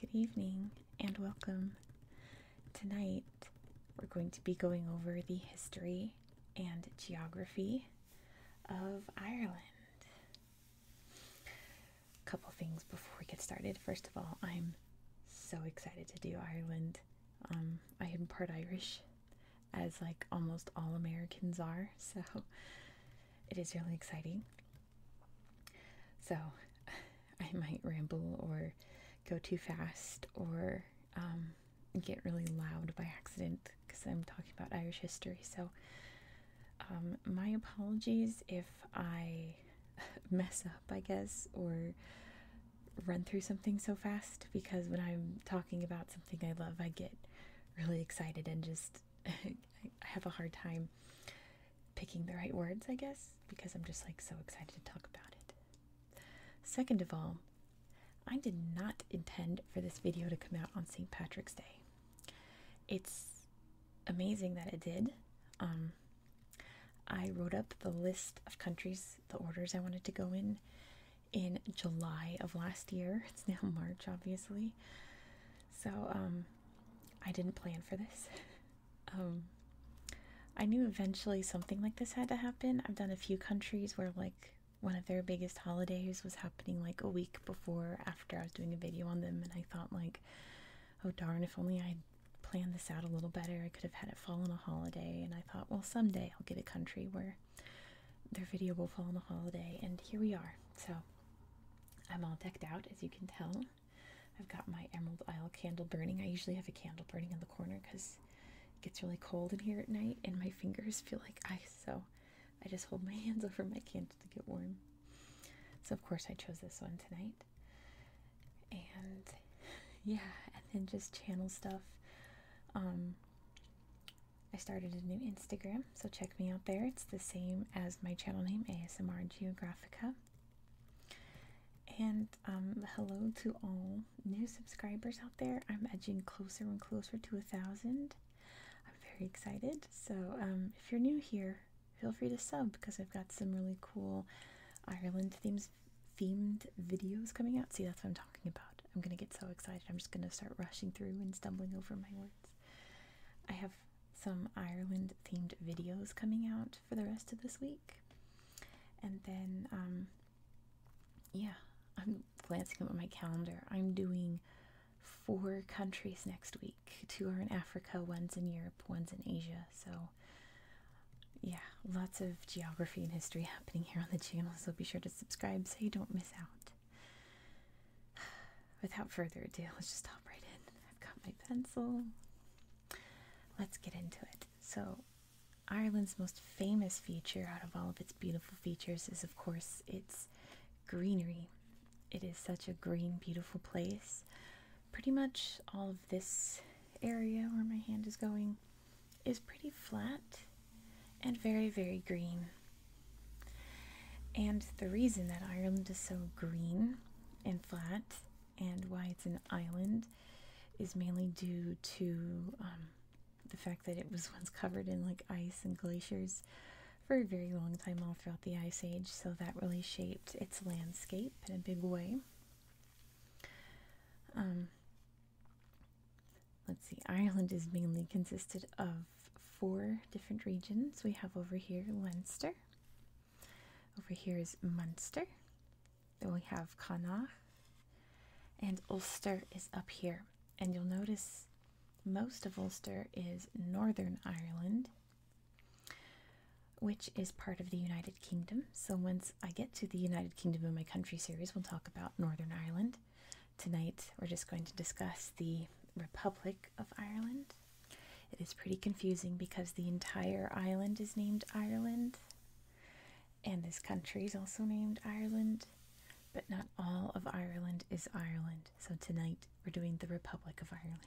Good evening and welcome. Tonight we're going to be going over the history and geography of Ireland. A couple things before we get started. First of all, I'm so excited to do Ireland. Um, I am part Irish, as like almost all Americans are, so it is really exciting. So I might ramble or go too fast or um, get really loud by accident because I'm talking about Irish history. So um, my apologies if I mess up, I guess, or run through something so fast because when I'm talking about something I love, I get really excited and just I have a hard time picking the right words, I guess, because I'm just like so excited to talk about it. Second of all, I did not intend for this video to come out on St. Patrick's Day. It's amazing that it did. Um, I wrote up the list of countries, the orders I wanted to go in in July of last year. It's now March, obviously. So, um, I didn't plan for this. Um, I knew eventually something like this had to happen. I've done a few countries where, like, one of their biggest holidays was happening like a week before after I was doing a video on them, and I thought, like, oh darn, if only I'd Plan this out a little better. I could have had it fall on a holiday, and I thought, well, someday I'll get a country where their video will fall on a holiday, and here we are. So I'm all decked out, as you can tell. I've got my Emerald Isle candle burning. I usually have a candle burning in the corner because it gets really cold in here at night, and my fingers feel like ice, so I just hold my hands over my candle to get warm. So, of course, I chose this one tonight and yeah, and then just channel stuff. Um, I started a new Instagram, so check me out there. It's the same as my channel name, ASMR Geographica. And um, hello to all new subscribers out there. I'm edging closer and closer to a thousand. I'm very excited. So um, if you're new here, feel free to sub because I've got some really cool Ireland themes themed videos coming out. See, that's what I'm talking about. I'm gonna get so excited. I'm just gonna start rushing through and stumbling over my words. I have some Ireland themed videos coming out for the rest of this week. And then, um, yeah, I'm glancing at my calendar. I'm doing four countries next week two are in Africa, one's in Europe, one's in Asia so yeah, lots of geography and history happening here on the channel, so be sure to subscribe so you don't miss out. Without further ado, let's just hop right in. I've got my pencil. Let's get into it. So, Ireland's most famous feature out of all of its beautiful features is, of course, its greenery. It is such a green, beautiful place. Pretty much all of this area where my hand is going is pretty flat and very, very green. And the reason that Ireland is so green and flat and why it's an island is mainly due to um, the fact that it was once covered in like ice and glaciers for a very long time all throughout the ice age so that really shaped its landscape in a big way um, let's see, Ireland is mainly consisted of four different regions. We have over here Leinster, over here is Munster, then we have Connacht, and Ulster is up here. And you'll notice most of Ulster is Northern Ireland, which is part of the United Kingdom. So once I get to the United Kingdom in my country series, we'll talk about Northern Ireland. Tonight, we're just going to discuss the Republic of Ireland. It is pretty confusing because the entire island is named Ireland, and this country is also named Ireland, but not all of Ireland is Ireland. So tonight, we're doing the Republic of Ireland.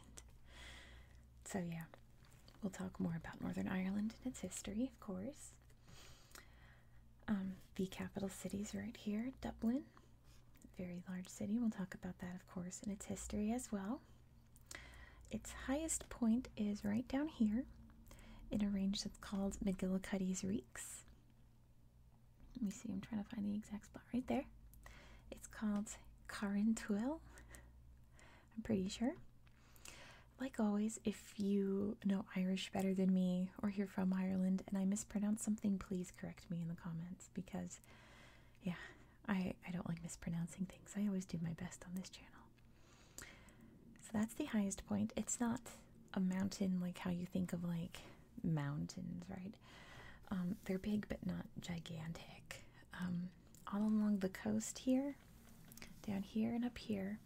So, yeah, We'll talk more about Northern Ireland and its history, of course. Um, the capital city is right here, Dublin. Very large city. We'll talk about that, of course, and its history as well. Its highest point is right down here in a range that's called McGillicuddy's Reeks. Let me see, I'm trying to find the exact spot right there. It's called Carintuel. I'm pretty sure. Like always, if you know Irish better than me or you're from Ireland and I mispronounce something, please correct me in the comments because, yeah, I, I don't like mispronouncing things. I always do my best on this channel. So that's the highest point. It's not a mountain like how you think of like mountains, right? Um, they're big but not gigantic. Um, all along the coast here, down here and up here.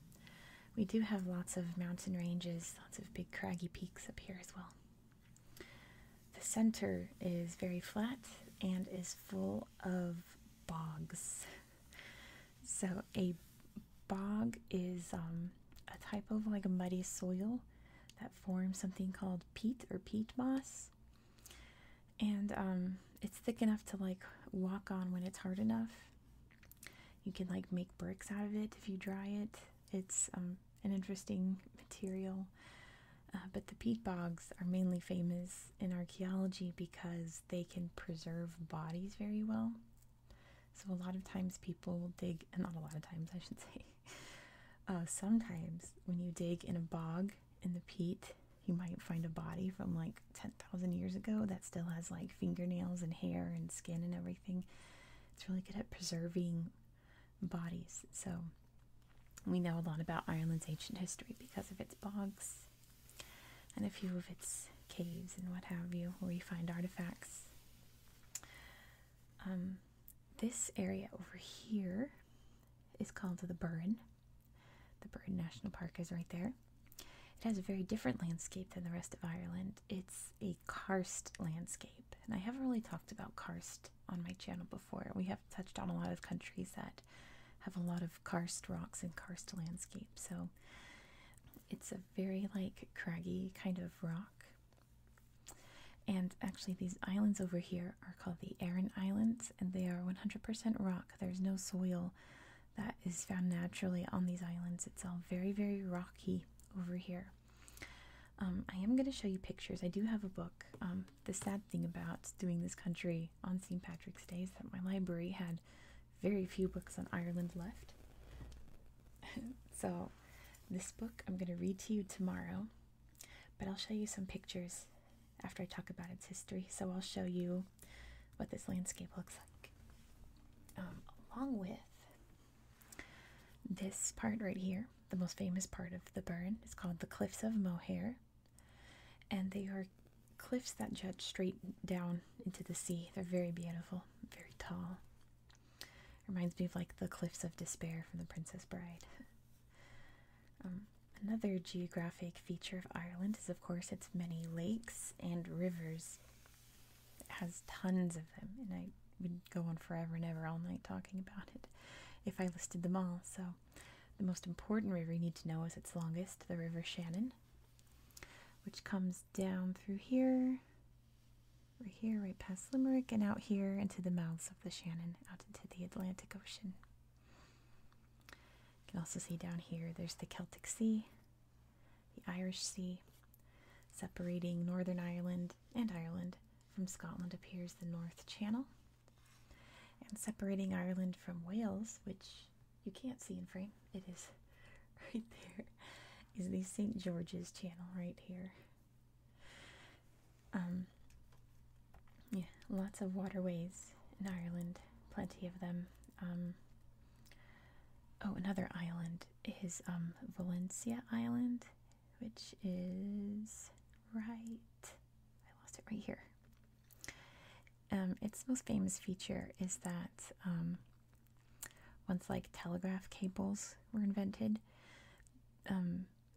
We do have lots of mountain ranges, lots of big craggy peaks up here as well. The center is very flat and is full of bogs. So, a bog is um, a type of like muddy soil that forms something called peat or peat moss and um, it's thick enough to like walk on when it's hard enough. You can like make bricks out of it if you dry it. It's um, an interesting material. Uh, but the peat bogs are mainly famous in archaeology because they can preserve bodies very well. So a lot of times people dig, not a lot of times I should say, uh, sometimes when you dig in a bog, in the peat, you might find a body from like 10,000 years ago that still has like fingernails and hair and skin and everything. It's really good at preserving bodies. So we know a lot about Ireland's ancient history because of its bogs and a few of its caves and what have you, where you find artifacts. Um, this area over here is called the Burren. The Bird National Park is right there. It has a very different landscape than the rest of Ireland. It's a karst landscape, and I haven't really talked about karst on my channel before. We have touched on a lot of countries that have a lot of karst rocks and karst landscapes. so it's a very like craggy kind of rock. And actually, these islands over here are called the Aran Islands, and they are 100% rock. There's no soil that is found naturally on these islands. It's all very, very rocky over here. Um, I am going to show you pictures. I do have a book. Um, the sad thing about doing this country on St. Patrick's Day is that my library had very few books on Ireland left. so, this book I'm going to read to you tomorrow, but I'll show you some pictures after I talk about its history. So I'll show you what this landscape looks like. Um, along with this part right here, the most famous part of the burn is called the Cliffs of Mohair, And they are cliffs that jut straight down into the sea. They're very beautiful, very tall. Reminds me of like the Cliffs of Despair from The Princess Bride. Um, Another geographic feature of Ireland is, of course, its many lakes and rivers. It has tons of them, and I would go on forever and ever all night talking about it if I listed them all. So, the most important river you need to know is its longest, the River Shannon, which comes down through here, right here, right past Limerick, and out here into the mouths of the Shannon, out into the Atlantic Ocean. You can also see down here there's the Celtic Sea, the Irish Sea. Separating Northern Ireland and Ireland from Scotland appears the North Channel. And separating Ireland from Wales, which you can't see in frame, it is right there, is the St. George's Channel right here. Um, yeah, lots of waterways in Ireland, plenty of them. Um, oh, another island is um, Valencia Island, which is right. I lost it right here. Um, its most famous feature is that once like telegraph cables were invented,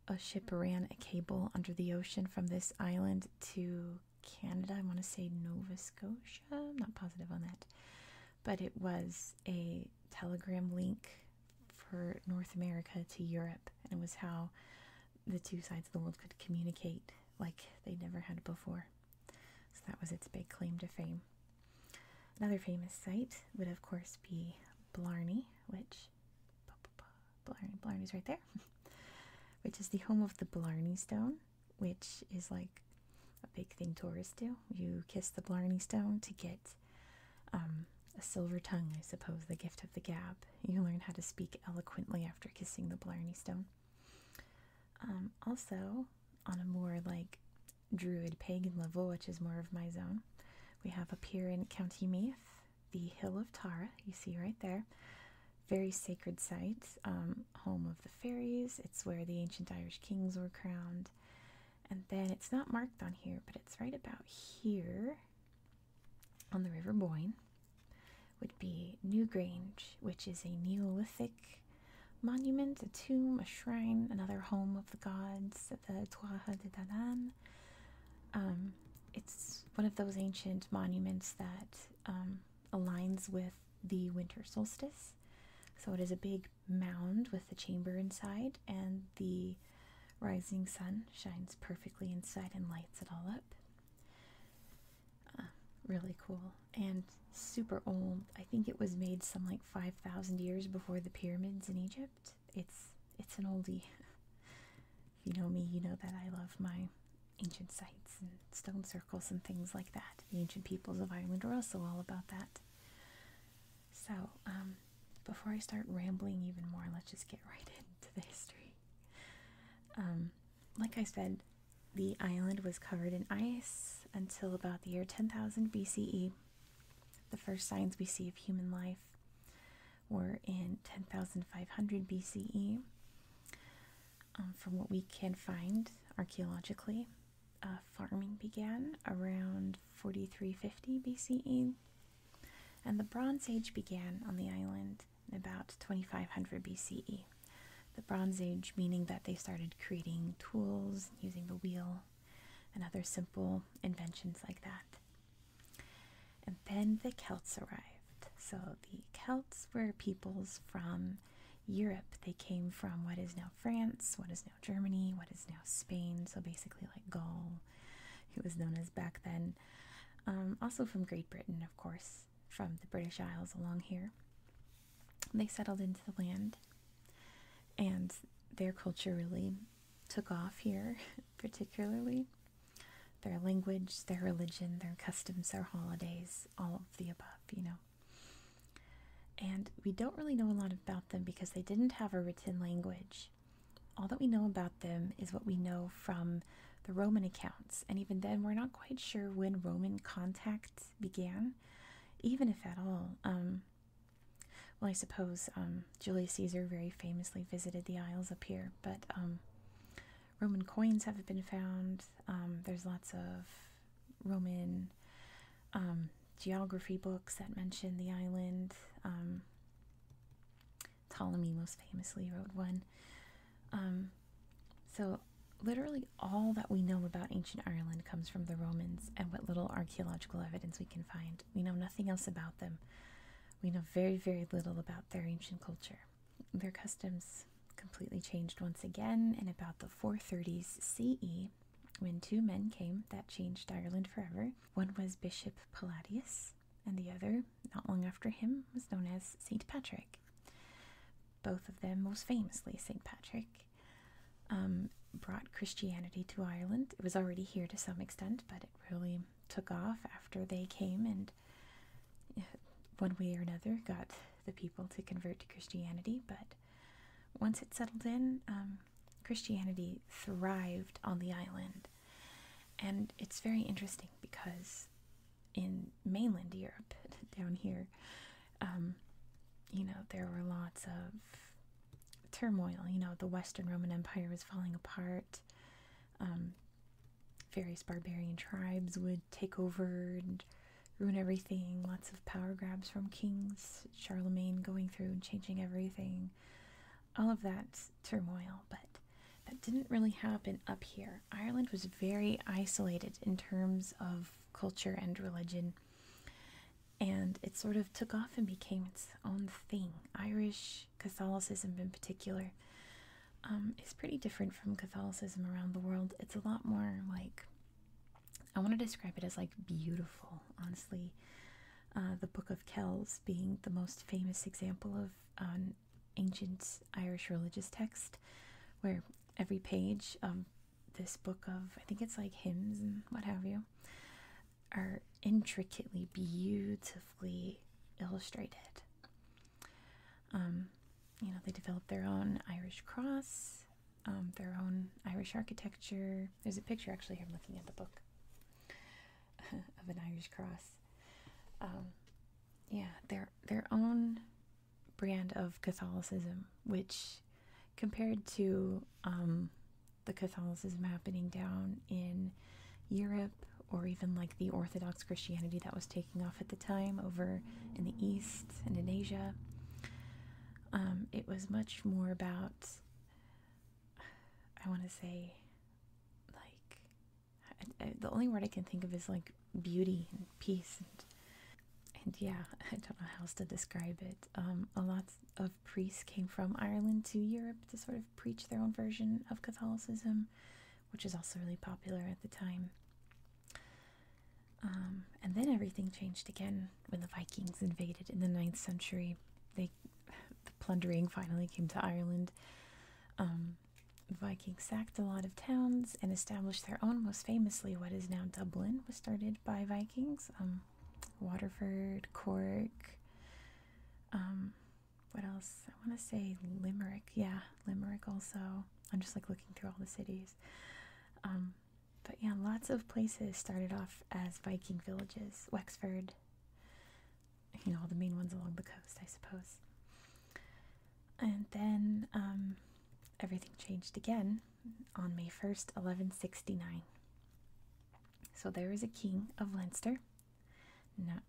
a ship ran a cable under the ocean from this island to Canada. I want to say Nova Scotia. I'm not positive on that. But it was a telegram link for North America to Europe. And it was how the two sides of the world could communicate like they never had before. So that was its big claim to fame. Another famous site would, of course, be Blarney, which Blarney. Blarney's right there, which is the home of the Blarney Stone, which is like a big thing tourists do. You kiss the Blarney Stone to get um, a silver tongue, I suppose, the gift of the gab. You learn how to speak eloquently after kissing the Blarney Stone. Um, also, on a more like druid pagan level, which is more of my zone, we have up here in County Meath the Hill of Tara, you see right there. Very sacred site, um, home of the fairies. It's where the ancient Irish kings were crowned. And then it's not marked on here, but it's right about here on the River Boyne would be Newgrange, which is a Neolithic monument, a tomb, a shrine, another home of the gods the Tuatha de Danann. Um, it's one of those ancient monuments that um, aligns with the winter solstice. So it is a big mound with the chamber inside, and the rising sun shines perfectly inside and lights it all up. Uh, really cool and super old. I think it was made some like 5,000 years before the pyramids in Egypt. It's it's an oldie. if you know me, you know that I love my ancient sites and stone circles and things like that. The ancient peoples of Ireland were also all about that. So, um, before I start rambling even more, let's just get right into the history. Um, like I said, the island was covered in ice until about the year 10,000 BCE. The first signs we see of human life were in 10,500 BCE. Um, from what we can find archaeologically, uh, farming began around 4350 BCE, and the Bronze Age began on the island about 2500 BCE. The Bronze Age meaning that they started creating tools, using the wheel, and other simple inventions like that. And then the Celts arrived. So the Celts were peoples from Europe. They came from what is now France, what is now Germany, what is now Spain. So basically, like Gaul, it was known as back then. Um, also from Great Britain, of course, from the British Isles along here. They settled into the land and their culture really took off here, particularly their language, their religion, their customs, their holidays, all of the above, you know. And we don't really know a lot about them because they didn't have a written language. All that we know about them is what we know from the Roman accounts, and even then, we're not quite sure when Roman contact began, even if at all. Um, well, I suppose um, Julius Caesar very famously visited the Isles up here, but um, Roman coins have been found. Um, there's lots of Roman um, geography books that mention the island. Um, Ptolemy most famously wrote one. so, literally, all that we know about ancient Ireland comes from the Romans and what little archaeological evidence we can find. We know nothing else about them. We know very, very little about their ancient culture. Their customs completely changed once again in about the 430s CE when two men came that changed Ireland forever. One was Bishop Palladius, and the other, not long after him, was known as St. Patrick. Both of them, most famously St. Patrick, um, brought Christianity to Ireland. It was already here to some extent, but it really took off after they came and one way or another got the people to convert to Christianity. But once it settled in, um, Christianity thrived on the island. And it's very interesting because in mainland Europe, down here, um, you know, there were lots of turmoil. You know, the Western Roman Empire was falling apart. Um, various barbarian tribes would take over and ruin everything. Lots of power grabs from kings, Charlemagne going through and changing everything. All of that turmoil, but that didn't really happen up here. Ireland was very isolated in terms of culture and religion. And it sort of took off and became its own thing. Irish Catholicism in particular, um, is pretty different from Catholicism around the world. It's a lot more like, I want to describe it as like beautiful, honestly. Uh, the Book of Kells being the most famous example of an ancient Irish religious text, where every page of this book of, I think it's like hymns and what have you, are intricately, beautifully illustrated. Um, you know, they developed their own Irish cross, um, their own Irish architecture. There's a picture actually I'm looking at the book of an Irish cross. Um, yeah, their their own brand of Catholicism, which compared to the Catholicism happening down in Europe or even like the Orthodox Christianity that was taking off at the time over in the East and in Asia. Um, it was much more about, I want to say, like, the only word I can think of is like beauty and peace and yeah, I don't know how else to describe it. Um, a lot of priests came from Ireland to Europe to sort of preach their own version of Catholicism which was also really popular at the time. Um, and then everything changed again when the Vikings invaded in the 9th century. They, the plundering finally came to Ireland. Um, Vikings sacked a lot of towns and established their own, most famously, what is now Dublin, was started by Vikings. Um, Waterford, Cork, what else? I want to say Limerick. Yeah, Limerick also. I'm just like looking through all the cities. Um, but yeah, lots of places started off as Viking villages. Wexford, you know, all the main ones along the coast, I suppose. And then um, everything changed again on May 1st, 1169. So there was a king of Leinster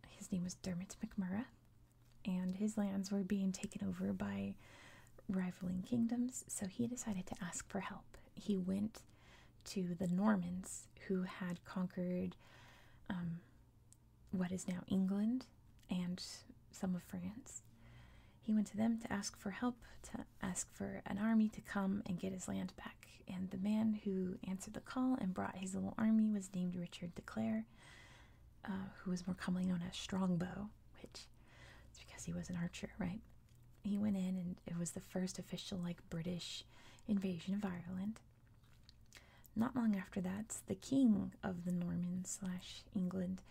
his name was Dermot McMurrah, and his lands were being taken over by rivaling kingdoms, so he decided to ask for help. He went to the Normans, who had conquered um, what is now England and some of France. He went to them to ask for help, to ask for an army to come and get his land back. And the man who answered the call and brought his little army was named Richard de Clare, uh, who was more commonly known as Strongbow, which it's because he was an archer, right? He went in and it was the first official like British invasion of Ireland. Not long after that, the king of the Normans slash England,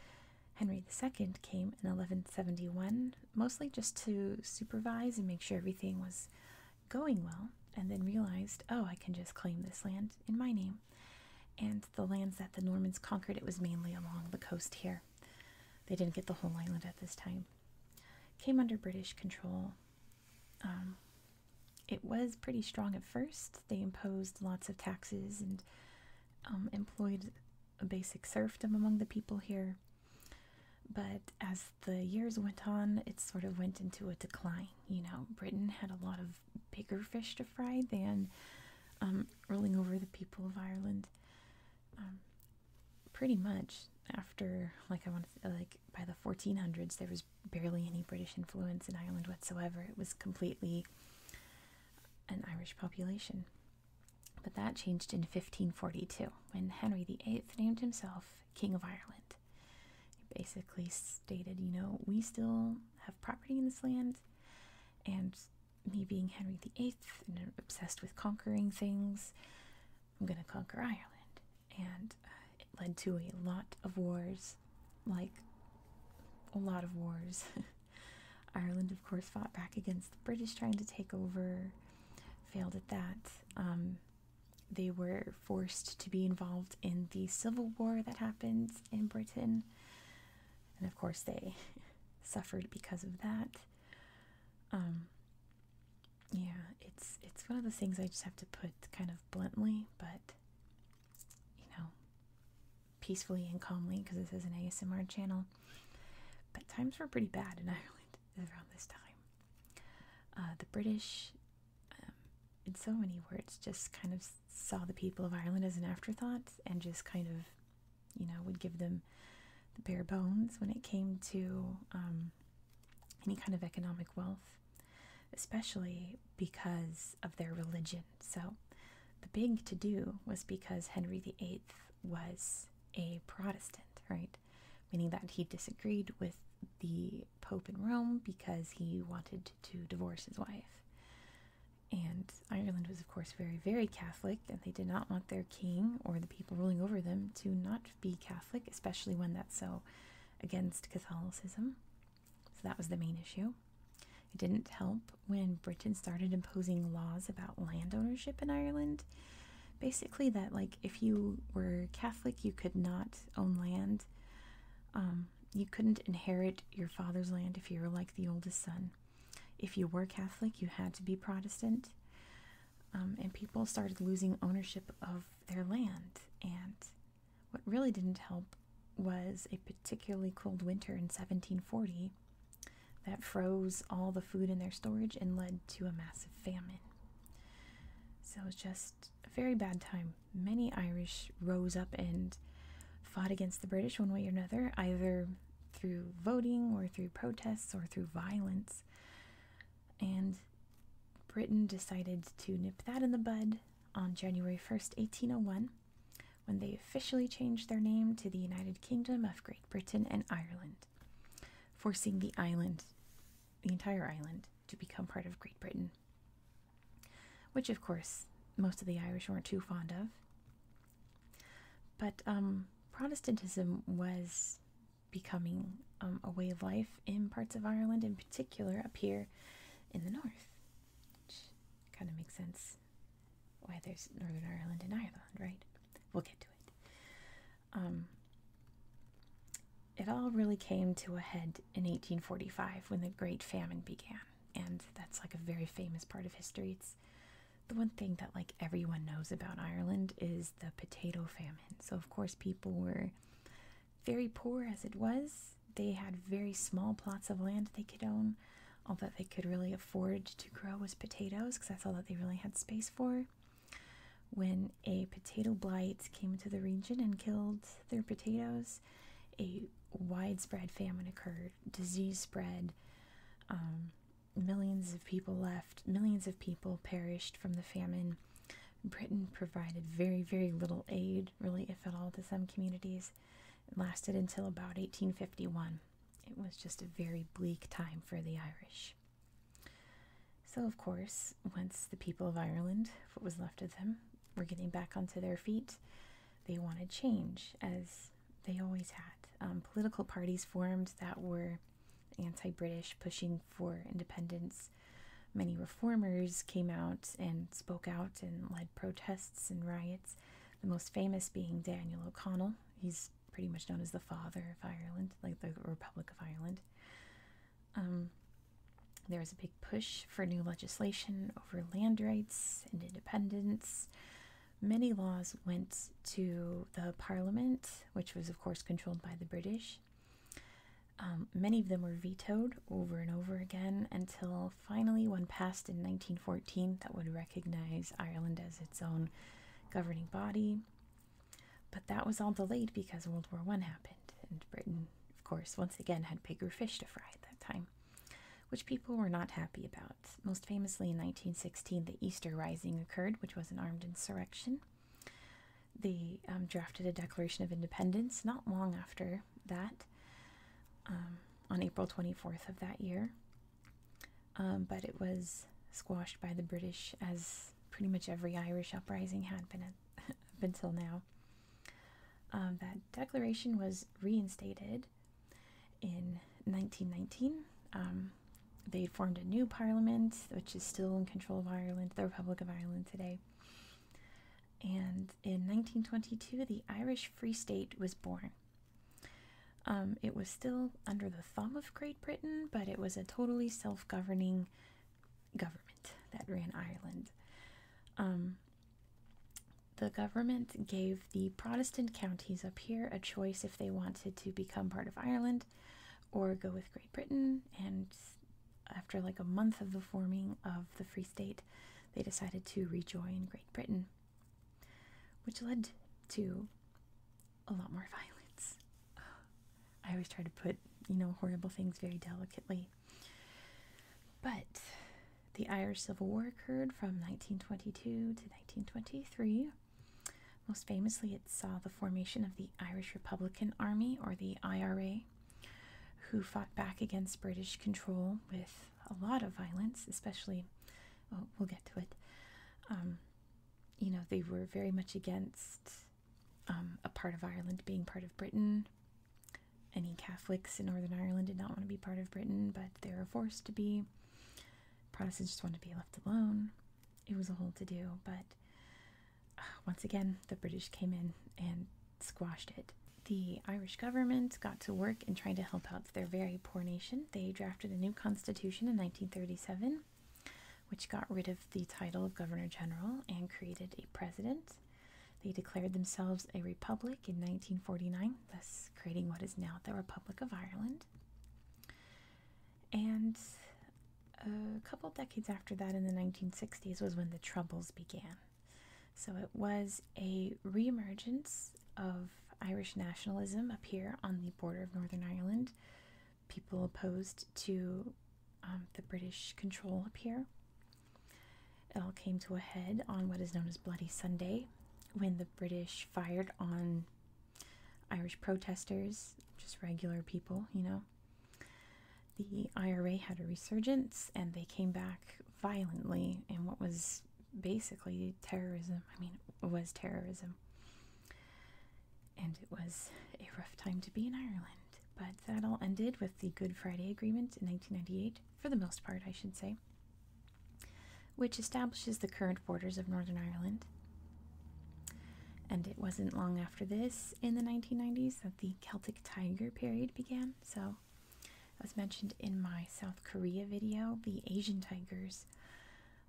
Henry II, came in 1171, mostly just to supervise and make sure everything was going well, and then realized, oh, I can just claim this land in my name. And the lands that the Normans conquered, it was mainly along the coast here. They didn't get the whole island at this time. Came under British control. Um, it was pretty strong at first. They imposed lots of taxes and um, employed a basic serfdom among the people here. But as the years went on, it sort of went into a decline. You know, Britain had a lot of bigger fish to fry than um, rolling over the people of Ireland. Um, pretty much after, like I want to, like by the 1400s, there was barely any British influence in Ireland whatsoever. It was completely an Irish population. But that changed in 1542 when Henry VIII named himself King of Ireland basically stated, you know, we still have property in this land, and me being Henry VIII and obsessed with conquering things, I'm going to conquer Ireland. And uh, it led to a lot of wars, like a lot of wars. Ireland, of course, fought back against the British trying to take over, failed at that. Um, they were forced to be involved in the civil war that happened in Britain. And of course, they suffered because of that. Um, yeah, it's it's one of the things I just have to put kind of bluntly, but you know, peacefully and calmly because this is an ASMR channel. But times were pretty bad in Ireland around this time. Uh, the British in so many words, just kind of saw the people of Ireland as an afterthought and just kind of, you know, would give them the bare bones when it came to um, any kind of economic wealth, especially because of their religion. So the big to do was because Henry VIII was a Protestant, right? Meaning that he disagreed with the Pope in Rome because he wanted to divorce his wife. And Ireland was, of course, very, very Catholic, and they did not want their king or the people ruling over them to not be Catholic, especially when that's so against Catholicism. So that was the main issue. It didn't help when Britain started imposing laws about land ownership in Ireland. Basically, that, like, if you were Catholic, you could not own land um, you couldn't inherit your father's land if you were like the oldest son. If you were Catholic, you had to be Protestant. Um, and people started losing ownership of their land. And what really didn't help was a particularly cold winter in 1740 that froze all the food in their storage and led to a massive famine. So it was just very bad time. Many Irish rose up and fought against the British one way or another, either through voting or through protests or through violence. And Britain decided to nip that in the bud on January 1st, 1801, when they officially changed their name to the United Kingdom of Great Britain and Ireland, forcing the island the entire island to become part of Great Britain, which, of course, most of the Irish weren't too fond of. But um, Protestantism was becoming um, a way of life in parts of Ireland, in particular up here in the north, which kind of makes sense why there's Northern Ireland and Ireland, right? We'll get to it. Um, it all really came to a head in 1845 when the Great Famine began, and that's like a very famous part of history. It's the one thing that like everyone knows about Ireland is the potato famine. So of course people were very poor as it was. They had very small plots of land they could own. All that they could really afford to grow was potatoes because that's all that they really had space for. When a potato blight came into the region and killed their potatoes, a widespread famine occurred, disease spread, um, millions of people left, millions of people perished from the famine. Britain provided very, very little aid, really, if at all, to some communities. It lasted until about 1851. It was just a very bleak time for the Irish. So, of course, once the people of Ireland, what was left of them, were getting back onto their feet, they wanted change, as they always had. Um, political parties formed that were anti British, pushing for independence. Many reformers came out and spoke out and led protests and riots, the most famous being Daniel O'Connell. He's pretty much known as the father of Ireland, like the Republic of Ireland. Um, there was a big push for new legislation over land rights and independence. Many laws went to the Parliament, which was, of course, controlled by the British. Um, many of them were vetoed over and over again until finally one passed in 1914 that would recognize Ireland as its own governing body. But that was all delayed because World War I happened, and Britain, of course, once again had bigger fish to fry at that time, which people were not happy about. Most famously, in 1916, the Easter Rising occurred, which was an armed insurrection. They um, drafted a Declaration of Independence not long after that, um, on April 24th of that year. Um, but it was squashed by the British as pretty much every Irish uprising had been until now. Um, that declaration was reinstated in 1919. Um, they formed a new parliament, which is still in control of Ireland, the Republic of Ireland today. And in 1922, the Irish Free State was born. Um, it was still under the thumb of Great Britain, but it was a totally self governing government that ran Ireland. Um, the government gave the Protestant counties up here a choice if they wanted to become part of Ireland or go with Great Britain. And after like a month of the forming of the Free State, they decided to rejoin Great Britain, which led to a lot more violence. I always try to put, you know, horrible things very delicately. But the Irish Civil War occurred from 1922 to 1923. Most famously, it saw the formation of the Irish Republican Army, or the IRA, who fought back against British control with a lot of violence, especially, oh, we'll get to it. Um, you know, they were very much against um, a part of Ireland being part of Britain. Any Catholics in Northern Ireland did not want to be part of Britain, but they were forced to be. Protestants just wanted to be left alone. It was a whole to do, but uh, once again, the British came in and squashed it. The Irish government got to work in trying to help out their very poor nation. They drafted a new constitution in 1937 which got rid of the title of governor general and created a president. They declared themselves a republic in 1949, thus creating what is now the Republic of Ireland. And a couple decades after that, in the 1960s, was when the Troubles began. So it was a reemergence of Irish nationalism up here on the border of Northern Ireland people opposed to um, the British control up here. It all came to a head on what is known as Bloody Sunday when the British fired on Irish protesters, just regular people, you know. The IRA had a resurgence and they came back violently in what was basically terrorism. I mean, it was terrorism and it was a rough time to be in Ireland. But that all ended with the Good Friday Agreement in 1998, for the most part, I should say, which establishes the current borders of Northern Ireland. And it wasn't long after this, in the 1990s, that the Celtic Tiger period began. So, as mentioned in my South Korea video, the Asian tigers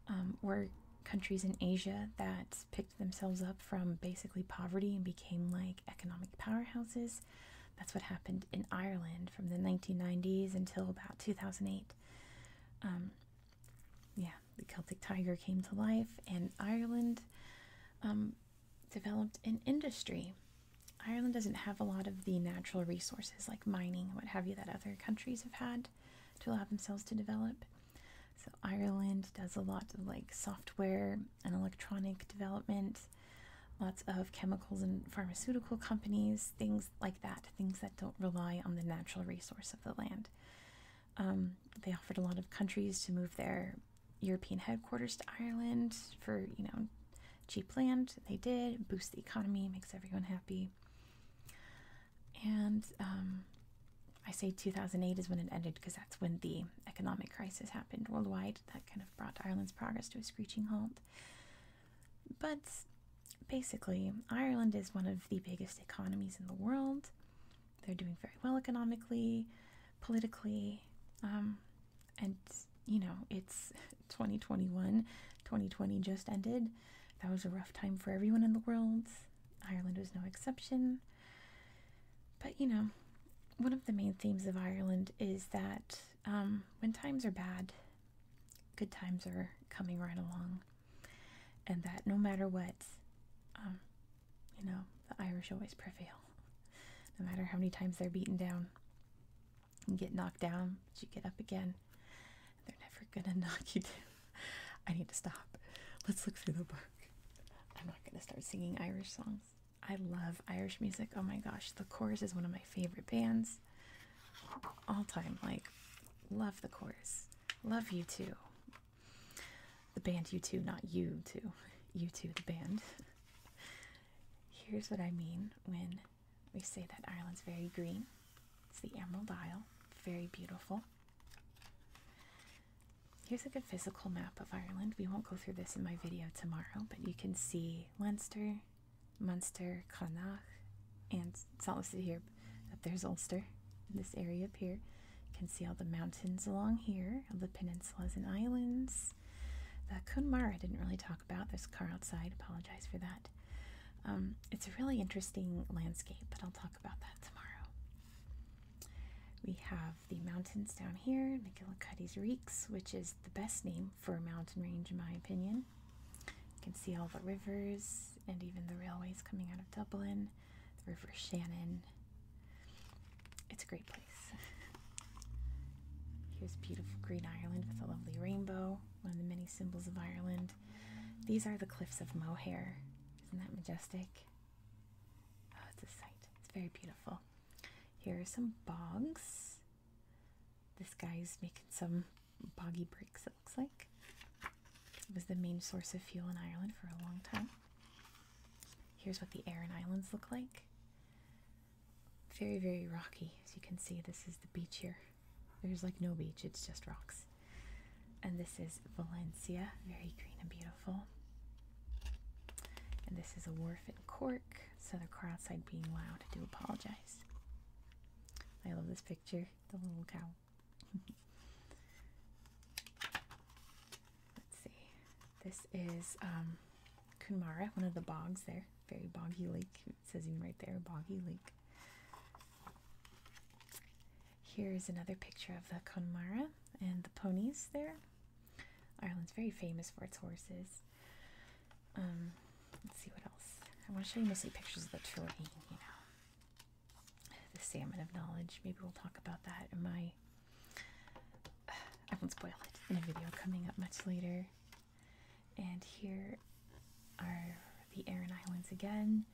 um, were countries in Asia that pick themselves up from basically poverty and became like economic powerhouses. That's what happened in Ireland from the 1990s until about 2008. Um, yeah, the Celtic tiger came to life, and Ireland um, developed an industry. Ireland doesn't have a lot of the natural resources like mining what have you that other countries have had to allow themselves to develop. So Ireland does a lot of like software and electronic development, lots of chemicals and pharmaceutical companies, things like that, things that don't rely on the natural resource of the land. Um, they offered a lot of countries to move their European headquarters to Ireland for, you know, cheap land. They did, boost the economy, makes everyone happy. And um, I say 2008 is when it ended because that's when the economic crisis happened worldwide. That kind of brought Ireland's progress to a screeching halt. But basically, Ireland is one of the biggest economies in the world. They're doing very well economically, politically, um, and you know, it's 2021, 2020 just ended. That was a rough time for everyone in the world. Ireland was no exception. But you know, one of the main themes of Ireland is that um, when times are bad, good times are coming right along, and that no matter what, um, you know, the Irish always prevail. No matter how many times they're beaten down, and get knocked down, but you get up again. They're never gonna knock you down. I need to stop. Let's look through the book. I'm not going to start singing Irish songs. I love Irish music. Oh my gosh, The Chorus is one of my favorite bands all time. Like, love The Chorus. Love you too. The band you too, not you too. You too, the band. Here's what I mean when we say that Ireland's very green. It's the Emerald Isle, very beautiful. Here's a good physical map of Ireland. We won't go through this in my video tomorrow, but you can see Leinster, Munster, Connacht, and it's not listed here. but there's Ulster, this area up here. You can see all the mountains along here, all the peninsulas and islands. The Connemara I didn't really talk about. There's a car outside. Apologize for that. Um, it's a really interesting landscape, but I'll talk about that tomorrow. We have the mountains down here, McGillicuddy's Reeks, which is the best name for a mountain range in my opinion. You can see all the rivers and even the railways coming out of Dublin, the River Shannon. It's a great place. Here's beautiful Green Ireland with a lovely rainbow, one of the many symbols of Ireland. These are the cliffs of Moher. Isn't that majestic? Oh, it's a sight. It's very beautiful. Here are some bogs. This guy's making some boggy breaks, it looks like. It was the main source of fuel in Ireland for a long time. Here's what the Aran Islands look like. Very, very rocky. As you can see, this is the beach here. There's like no beach, it's just rocks. And this is Valencia, very green and beautiful. And this is a wharf in Cork, so the car outside being loud. I do apologize. I love this picture, the little cow. Let's see. This is um, Kunmara, one of the bogs there. Very boggy lake. It says even right there, boggy lake. Here's another picture of the Connemara and the ponies there. Ireland's very famous for its horses. Um, let's see what else. I want to show you mostly pictures of the terrain, you know. The salmon of knowledge. Maybe we'll talk about that in my. I won't spoil it in a video coming up much later. And here are the Aran Islands again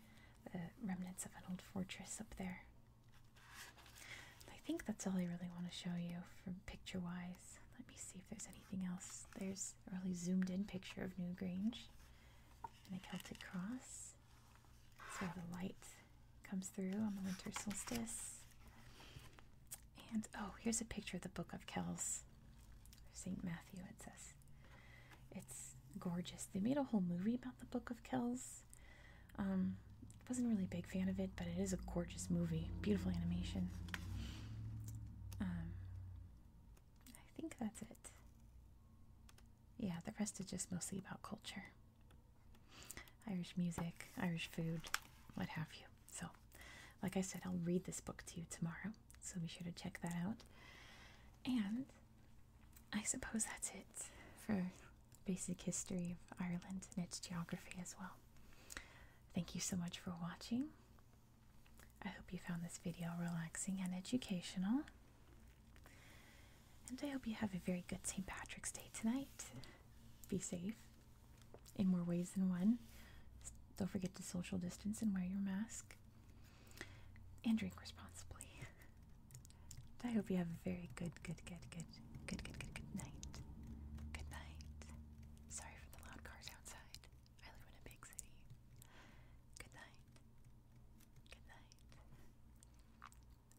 the remnants of an old fortress up there. I think that's all I really want to show you from picture wise. Let me see if there's anything else. There's a really zoomed in picture of Newgrange and the Celtic cross. So where the light comes through on the winter solstice. And oh, here's a picture of the Book of Kells. St. Matthew, it says. It's gorgeous. They made a whole movie about the Book of Kells. I um, wasn't really a big fan of it, but it is a gorgeous movie. Beautiful animation. Um, I think that's it. Yeah, the rest is just mostly about culture. Irish music, Irish food, what have you. So, like I said, I'll read this book to you tomorrow, so be sure to check that out. And I suppose that's it for basic history of Ireland and its geography as well. Thank you so much for watching. I hope you found this video relaxing and educational. And I hope you have a very good St. Patrick's Day tonight. Be safe in more ways than one. Don't forget to social distance and wear your mask and drink responsibly. I hope you have a very good, good, good, good, good, good, good, good night. Good night. Sorry for the loud cars outside. I live in a big city. Good night. Good night. Good night.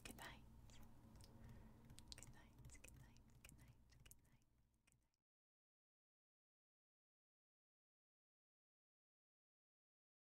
Good night. Good night. Good night. Good night. Good night.